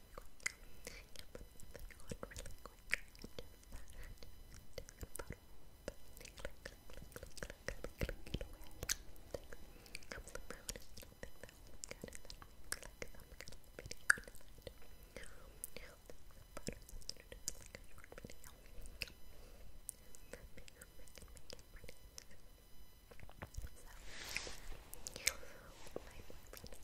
my boyfriend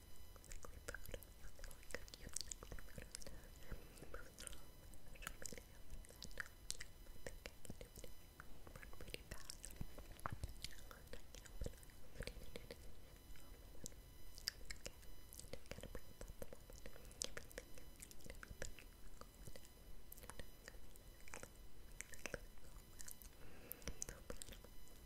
sickly mood, something like a cute sickly mood. Moves along with social media, and um, I think I can do it run pretty fast. And I can't, but I really need it. Okay, just gotta breathe out the moment. Everything, everything is going and I'm going to let it go well. So, but, um,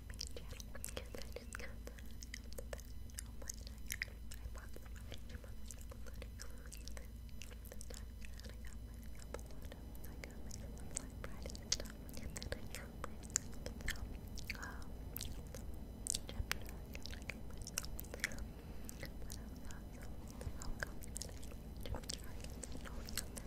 my main channel because I just got that out the back of my night. I bought some of it, I bought some of it, including this, this time, and I got myself a lot of, I got myself a Black Friday stuff, and then I got myself some, um, chapter, and I got myself, um, what else, also, oh, cosmetic chapter, and then I got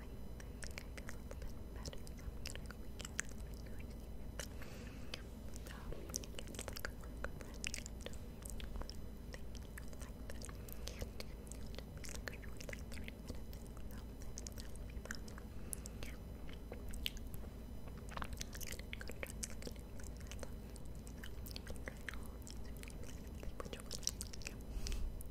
I think I feel a little bit better, so I'm gonna go weekend. Um, it's like a work friend. Thank you, like that. It'll just be like a short, like 30 minute thing, so that'll be fun. Yeah. I'm gonna go try like a new place I love. So, I'm gonna try all these new places, which one I like.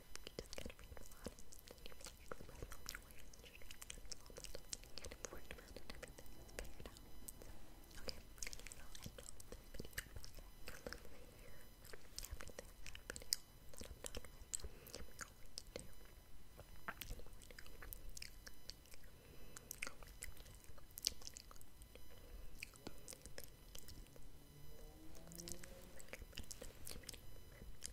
because you just get read a lot and you really express all your ways and your strengths and all the stuff that you've worked around and everything is figured out. So, okay, so I know this video is a little bit here after this video that I'm done with. I'm going to do I'm going to Thank you.